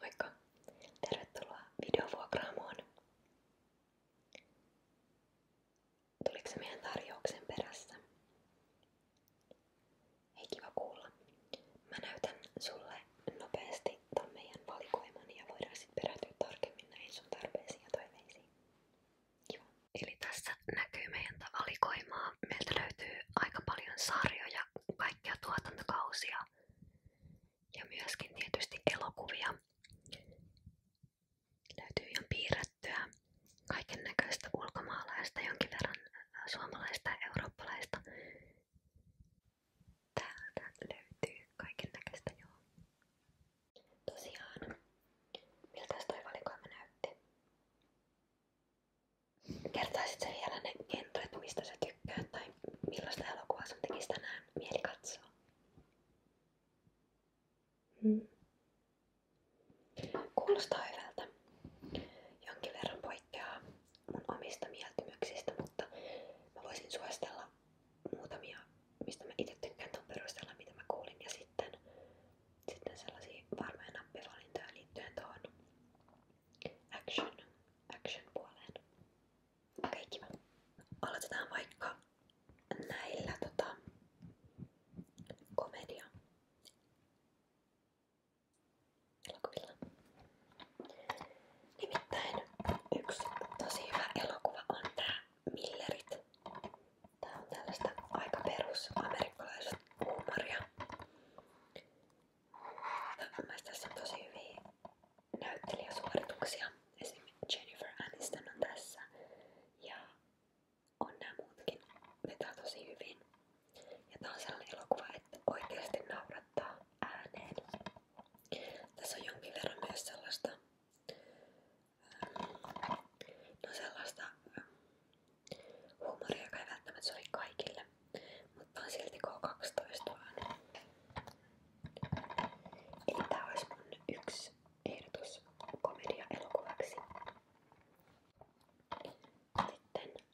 Moikka! Tervetuloa videovuokraamoon. Tuliko se meidän tarjouksen perässä? Ei kiva kuulla. Mä näytän sulle nopeasti ton meidän valikoiman ja voidaan sitten perehtyä tarkemmin näihin sun tarpeisiin ja toiveisiin. Kiva. Eli tässä näkyy meidän valikoimaa. Meiltä löytyy aika paljon sarjoja, kaikkia tuotantokausia ja myöskin tietysti elokuvia. Löytyy ihan piirrettyä kaiken näköistä ulkomaalaista, jonkin verran suomalaista ja eurooppalaista. Täältä löytyy kaiken näköistä joo. Tosiaan, miltäs toi valikoima näytti? kertaisit sä vielä ne genret, mistä sä tykkäät tai millaista elokuvaa sun tekisi tänään mieli katsoa? Hmm. Kuulostaa hyvältä. Jonkin verran poikkeaa mun omista mieltymyksistä, mutta mä voisin suositella muutamia, mistä mä itse tykkään ton perusteella, mitä mä kuulin, ja sitten, sitten sellaisia varmoja nappivalintoja liittyen tuohon action, action puoleen. Okei, okay, kiva. Aloitetaan vaikka näillä tota, komedia elokuvilla. Nimittäin yksi tosi hyvä elokuva on tää Millerit. Tää on tällaista aika perus amerikkalaista huumoria. Mun mielestä tässä on tosi hyviä näyttelijäsuorituksia. Esimerkiksi Jennifer Aniston on tässä. Ja on nämä muutkin vetää tosi hyvin. Ja tää on sellainen elokuva, että oikeasti naurattaa ääneen. Tässä on jonkin verran myös sellaista, ähm, no sellaista ähm, huumoria, joka ei välttämättä sovi kaikille mutta on silti K12 vaan. Eli tää olisi mun yksi ehdotus komedia-elokuvaksi.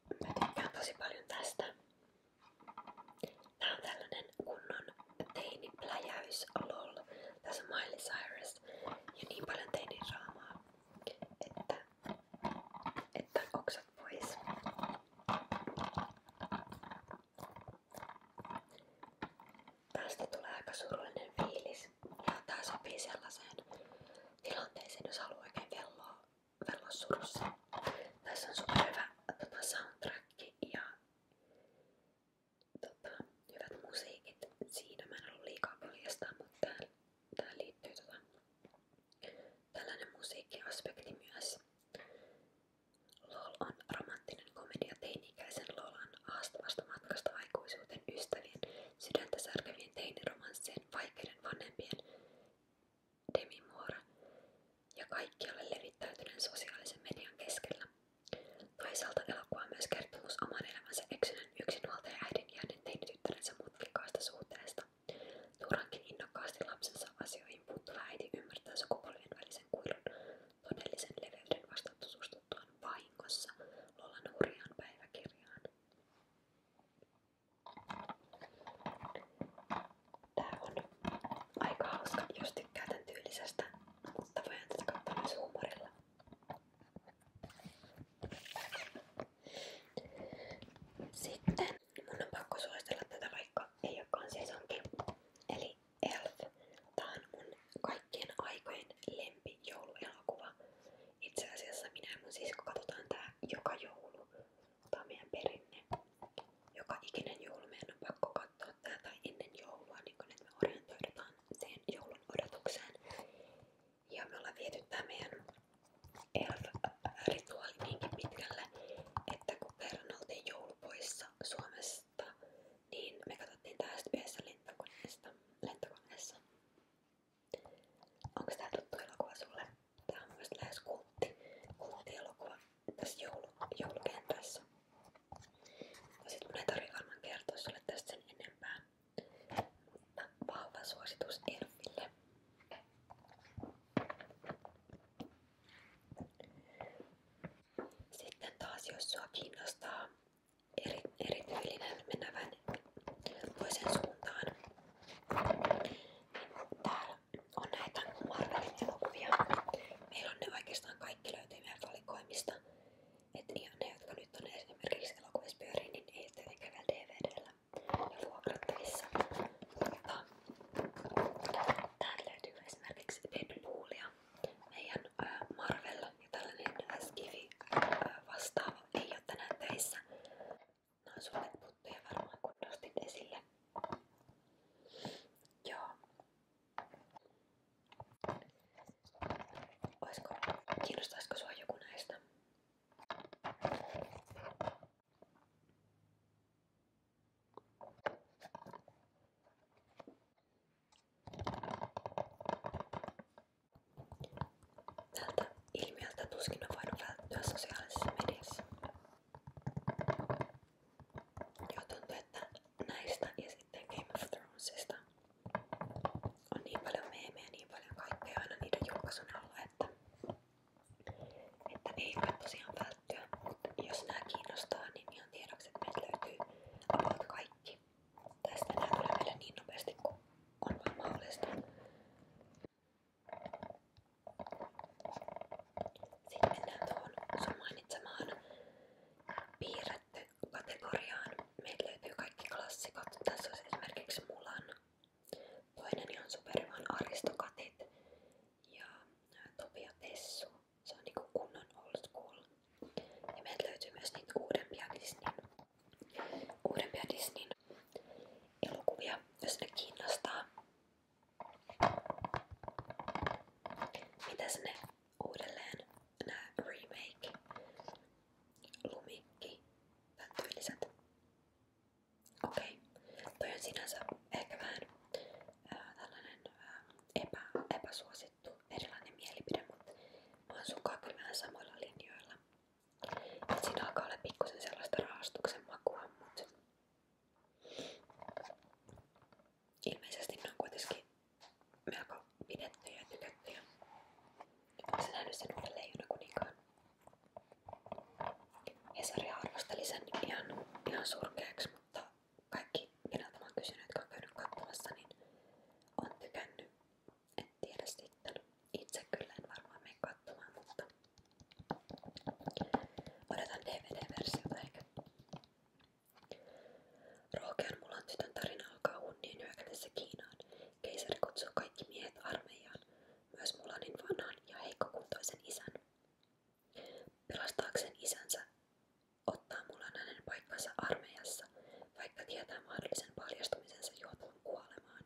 Sitten mä tykkään tosi paljon tästä. Tää on tällainen kunnon teinipläjäys lol. Tässä on Miley Cyrus ja niin paljon teinidraamaa, että, että oksat pois. Tästä tulee aika surullinen fiilis. Ja tää sopii sellaiseen tilanteeseen, jos haluaa oikein velloa, velloa surussa. Tässä on superhyvä tota, soundtrack ja tota, hyvät musiikit. Siinä mä en ollut liikaa paljastaa, mutta tää, tää liittyy tota, Tällainen musiikkiaspekti myös. LOL romanttinen komedia teini-ikäisen Lolan haastavasta matkasta aikuisuuteen ystävien, sydäntä särkevien teiniromanssien, vaikeiden vanhempien, demimuora ja kaikkialle levittäytyneen sosiaalisen median keskellä. Toisaalta elokuva myös kertomus oman elämänsä eksyneen yksinhuoltaja äidin ja hänen teinityttärensä mutkikaasta suhteesta lapsesta. Juurankin innokkaasti lapsensa asioihin puuttuva äiti ymmärtää sukupolvien välisen kuilun todellisen leveyden vasta tutustuttuaan vahingossa Lolan hurjaan päiväkirjaan. Tää on aika hauska, jos tykkää tämän tyylisestä, mutta voin tätä katsoa myös Sitten Mun on pakko suositella tätä vaikka ei olekaan sesonki. Eli Elf. Tää on mun kaikkien aikojen lempi jouluelokuva. Itse asiassa minä ja mun sisko katsotaan tää joka joulu. Tää on meidän perinne. Joka ikinen joulu meidän on pakko katsoa tää tai ennen joulua, niin kun että me orientoidutaan sen joulun odotukseen. Ja me ollaan viety tää meidän Elf-rituaali niinkin pitkälle, että kun verran oltiin joulupoissa Suomesta, niin me katsottiin tää yhdessä lentokoneesta. lentokoneessa. Onko tää tuttu elokuva sulle? Tää on myös lähes kultti, kulttielokuva tässä joulu, joulukentässä. Ja sit mun ei tarvi varmaan kertoa sulle tästä sen enempää. Mutta vahva suositus Elfille. Sitten taas, jos sua kiinnostaa eri, erityylinen menevän toisen suuntaan, niin täällä on näitä Marvelin elokuvia. Meillä on ne oikeastaan kaikki löytyy meidän valikoimista. Että ihan ne, jotka nyt on esimerkiksi elokuvissa pyörii, niin ei tietenkään vielä DVDllä Täältä löytyy esimerkiksi Deadpoolia, meidän ää, Marvel ja tällainen Skifi vastaava ei ole tänään töissä. Nämä on suuret putteja varmaan kun nostit esille. Joo. Oisko, kiinnostaisiko sua joku näistä? Tältä ilmiöltä tuskin on voinut välttyä sosiaalisessa mediassa. Joo, tuntuu, että näistä ja sitten Game of Thronesista on niin paljon meemejä, niin paljon kaikkea aina niiden julkaisun alla, että että ei voi tosiaan välttyä, mutta jos nämä kiinnostaa, niin ihan tiedoksi, että meiltä löytyy about kaikki. Tästä nämä tulee meille niin nopeasti kuin on vaan mahdollista. Sitten mennään tuohon sun mainitsemaan piirretty kategoriaan. Meiltä löytyy kaikki klassikot. Tässä on esimerkiksi Mulan. Toinen ihan superhyvän Aristokatit ja äh, Topia Pessu. Se on niinku kunnon old school. Ja meiltä löytyy myös niitä uudempia Disneyn, uudempia Disneyn elokuvia, jos ne kiinnostaa. Mitäs ne uudelleen, nää remake, lumikki, tämän tyyliset? Okei, okay. toi on sinänsä ehkä vähän ää, tällainen ää, epä, epäsuosittu erilainen mielipide, mutta mä oon sunkaan kyllä vähän samoilla linjoilla. Et siinä alkaa olla pikkusen sellaista rahastuksen makua, mutta ilmeisesti ne on kuitenkin melko pidettyjä ja tykättyjä. Onko sä nähnyt sen uuden leijonakuninkaan? Hesari arvosteli sen ihan, ihan surkeaksi, mutta kaikki, keneltä mä oon kysynyt, jotka on käynyt katsomassa, niin on tykännyt. En tiedä sitten. Itse kyllä en varmaan mene katsomaan, mutta odotan DVD-versiota ehkä. Rookean mulan tytön tarina alkaa hunnien hyökätessä Kiinaan. Keisari kutsuu kaikki miehet armeijaan, myös Mulanin niin vanhan ja heikkokuntoisen isän. Pelastaakseen isänsä, ottaa mulla hänen paikkansa armeijassa, vaikka tietää mahdollisen paljastumisensa johtavan kuolemaan.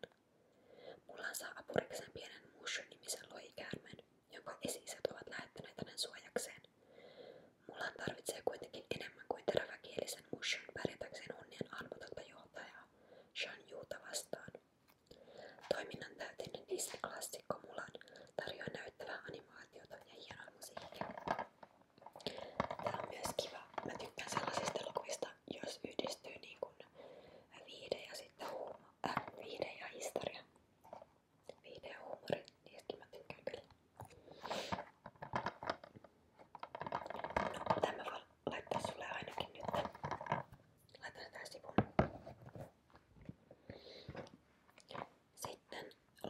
Mulla saa apurikseen pienen Mushu-nimisen lohikäärmeen, jonka esi ovat lähettäneet hänen suojakseen. Mulan tarvitsee kuitenkin enemmän kuin teräväkielisen Mushun pärjätäkseen onnien arvotonta johtajaa, Shan Juuta vastaan. Toiminnan täyteinen Disney-klassikko Mulan tarjoaa näyttävää animaatiota ja hienoa musiikkia. Tämä on myös kiva. Mä tykkään sellaisista elokuvista, jos yhdistyy niin kuin viide ja sitten huuma, äh, viide ja historia. Viide ja huumori, niistäkin mä tykkään kyllä. No, tämän mä voin laittaa sulle ainakin nyt. Laitan tämän sivun. Sitten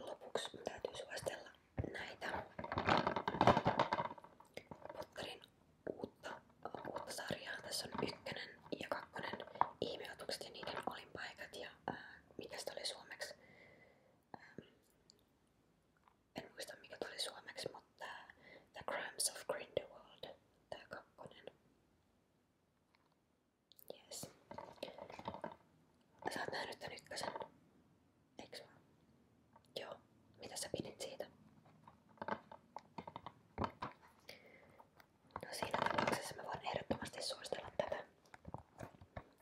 lopuksi mun täytyy suositella näitä Potterin uutta, uutta sarjaa. Tässä on ykkönen ja kakkonen ihmeotukset ja niiden olinpaikat ja ää, mikä sitä oli suomeksi. Ää, en muista mikä tuli suomeksi, mutta The Crimes of Grindelwald, tää kakkonen. Yes. Sä oot nähnyt tän ykkösen, Joo. Mitä sä pidit siitä? No siinä tapauksessa mä voin ehdottomasti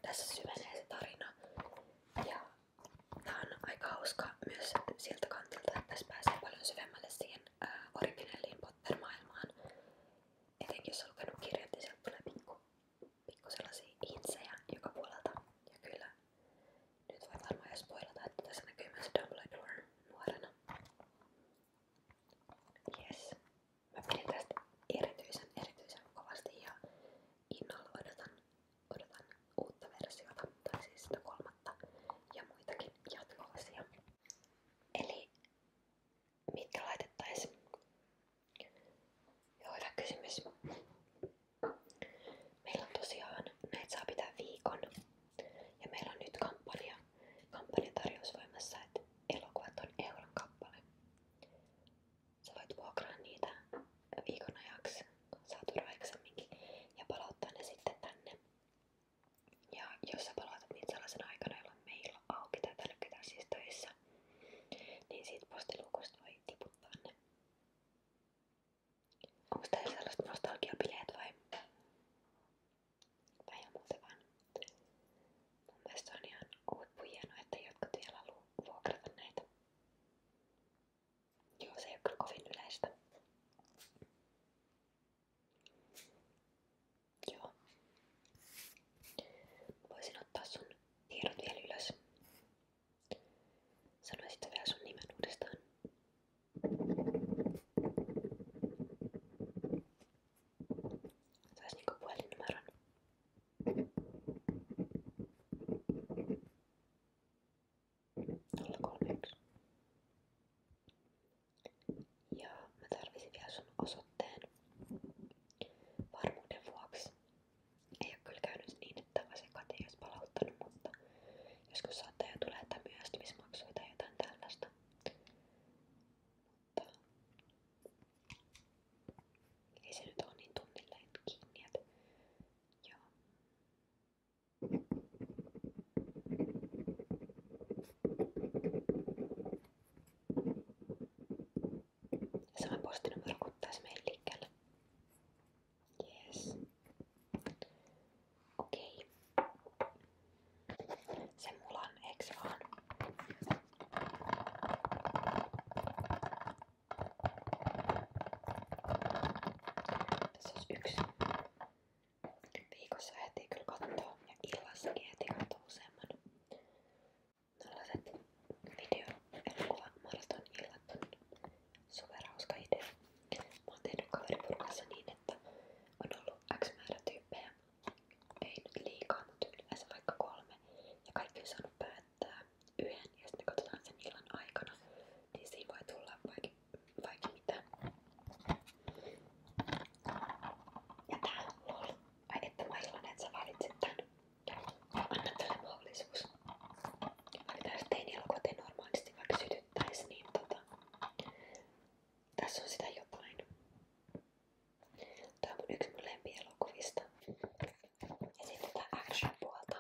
Tässä syvenee se tarina. Ja tää aika hauska myös siltä kantilta, että tässä pääsee paljon syvemmälle siihen ää, originelliin Potter-maailmaan. Etenkin jos on lukenut kirjat, niin sieltä tulee pikku, pikku sellaisia insejä joka puolelta. Ja kyllä, nyt voi varmaan jo spoilata, että tässä näkyy myös Dumbledore nuorena. Yes. Mä pidin tästä erityisen, erityisen kovasti ja innolla odotan, odotan uutta versiota, tai siis sitä kolmatta ja muitakin jatko-osia. Eli mitkä laitettaisiin? Joo, hyvä kysymys. Meillä on tosiaan, näitä saa pitää viikon. Ja meillä on nyt kampanja, kampanjatarjous voimassa, että elokuvat on euron kappale. Sä voit vuokraa niitä viikon ajaksi, saat turvaiksemminkin ja palauttaa ne sitten tänne ja jos sä palautat niitä sellaisen aikana, jolloin meillä on auki tai täällä ketään siis töissä, niin siitä postiluukusta voi tiputtaa ne. Onko teillä sellaiset nostalgiabileet vai? Vai ihan muuten vaan? Mun mielestä on ihan huippu hienoa, että jotkut vielä haluaa vuokrata näitä. Joo, se ei ole kyllä kovin yleistä. Joo. Voisin ottaa sun tiedot vielä ylös. Sanoisitko vielä sun nimen uudestaan? Saisi niinku puhelinnumeron. Nolla kolme yksi. Ja mä tarvisin vielä sun osoitteen varmuuden vuoksi. Ei oo kyllä käynyt niin, että takaisin koti ei palauttanut, mutta joskus saattaa jo tulla jotain myöhästymismaksuja tai jotain tällaista. Mutta ei se nyt oo niin tunnille kiinni, että joo. Sama postinumero kuin taisi meidän liikkeelle. Yes. Okei. Okay. Sen mulla on, eiks vaan? Tässä olisi yksi. Viikossa ehtii kyllä kattoo ja illassakin ehtii kattoo useamman. Tällaiset video-elokuva-maraton illat on superhauska idea. Mä oon tehnyt kaveriporukassa niin, että on ollut X määrä tyyppejä. Ei nyt liikaa, mutta yleensä vaikka kolme. Ja kaikki on saanut päättää yhden ja sitten katsotaan sen illan aikana. Niin siinä voi tulla vaikka mitä. Ja tää lol. Ai että mä iloinen, että sä valitsit tän. Anna tälle mahdollisuus. Valitaan se teini elokuva normaalisti, vaikka sytyttäis, niin tota... Tässä on sitä jotain. Tää on mun yksi mun lempielokuvista. Ja sitten tää action puolta.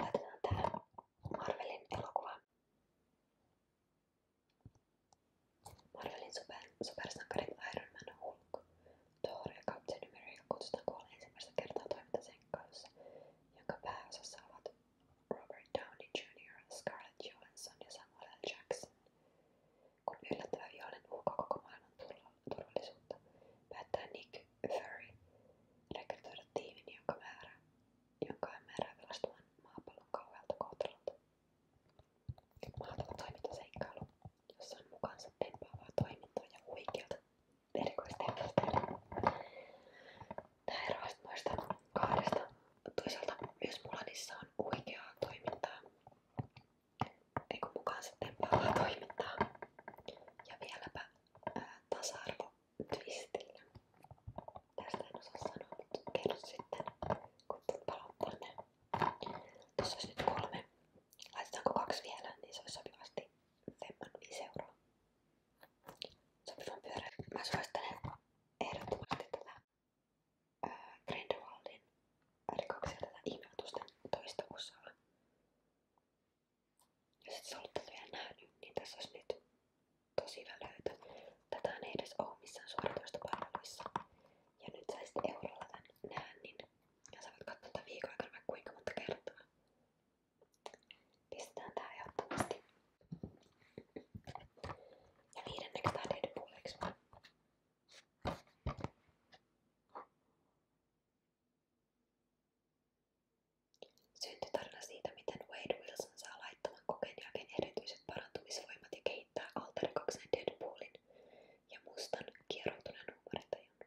Laitetaan tää Marvelin elokuva Marvelin super, supersankarit Iron Man Hulk, Thor ja Captain America kutsutaan koolle ensimmäistä kertaa toimintasenkkailussa, jonka pääosassa ovat Robert Downey Jr., Scarlett Johansson ja Samuel L. Jackson. Kun yllättävä vihollinen uhkaa koko maailman turvallisuutta, päättää Nick Fury rekrytoida tiimin, jonka määrää, jonka määrää pelastumaan maapallon kauhealta kohtalolta. Mahdoton toimintaseikkailu, jossa on mukaansa tempaavaa toimintaa ja huikeata erikoisteosta. Tämä eroaa noista kahdesta. Toisaalta myös Mulanissa on huikeaa toimintaa, eikä mukaansa tempaavaa toimintaa. Ja vieläpä ää, tasa-arvo twistillä. Tästä en osaa sanoa, mutta kerro sitten, kun tulet palauttamaan ne. Tässä olisi nyt kolme. Laitetaanko kaksi vielä, niin se olisi sopivasti femman 5 euroa. Sopivan pyörä. Mä suosittelen ehdottomasti tätä ää, Grindelwaldin rikoksia, tätä ihmeotusten toistavuusaa. Jos et sä ollut tätä vielä nähnyt, niin tässä olisi nyt tosi välöitä. Tätä ei edes ole missään suoratoistopalveluissa. Ja nyt saisit eurolla tän näännin. Ja sä voit katsoa tätä viikon aikana vaikka kuinka monta kertaa. Pistetään tää ehdottomasti. Ja viidenneksi tää Deadpool, eiks vaan? Syntyi tarina siitä, miten Wade Wilson saa laittoman kokeen jälkeen erityiset parantumisvoimat ja kehityksensä kehittää alterikoksen Deadpoolin ja mustan kieroutuneen huumorintajun.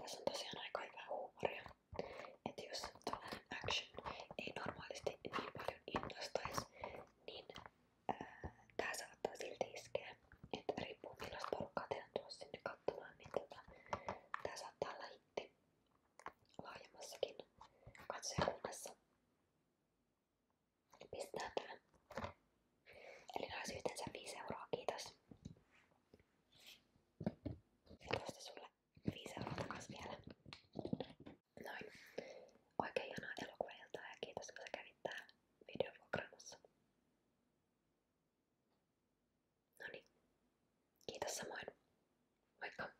Tässä on tosiaan aika hyvää huumoria. Että jos tällainen action ei normaalisti niin paljon innostaisi, niin ää, tää saattaa silti iskeä. Että riippuu millaista porukkaa teidän tuossa sinne katsomaan, niin tota, tää saattaa olla hitti laajemmassakin katsojakunnassa. Pistetään tämä. Eli ne olisi yhteensä 5 euroa, kiitos. Ja tuosta sulle 5 euroa takas vielä. Noin. Oikein ihanaa elokuvailtaa ja kiitos kun sä kävit tää videovuokraamassa. Noniin. Kiitos samoin. Moikka!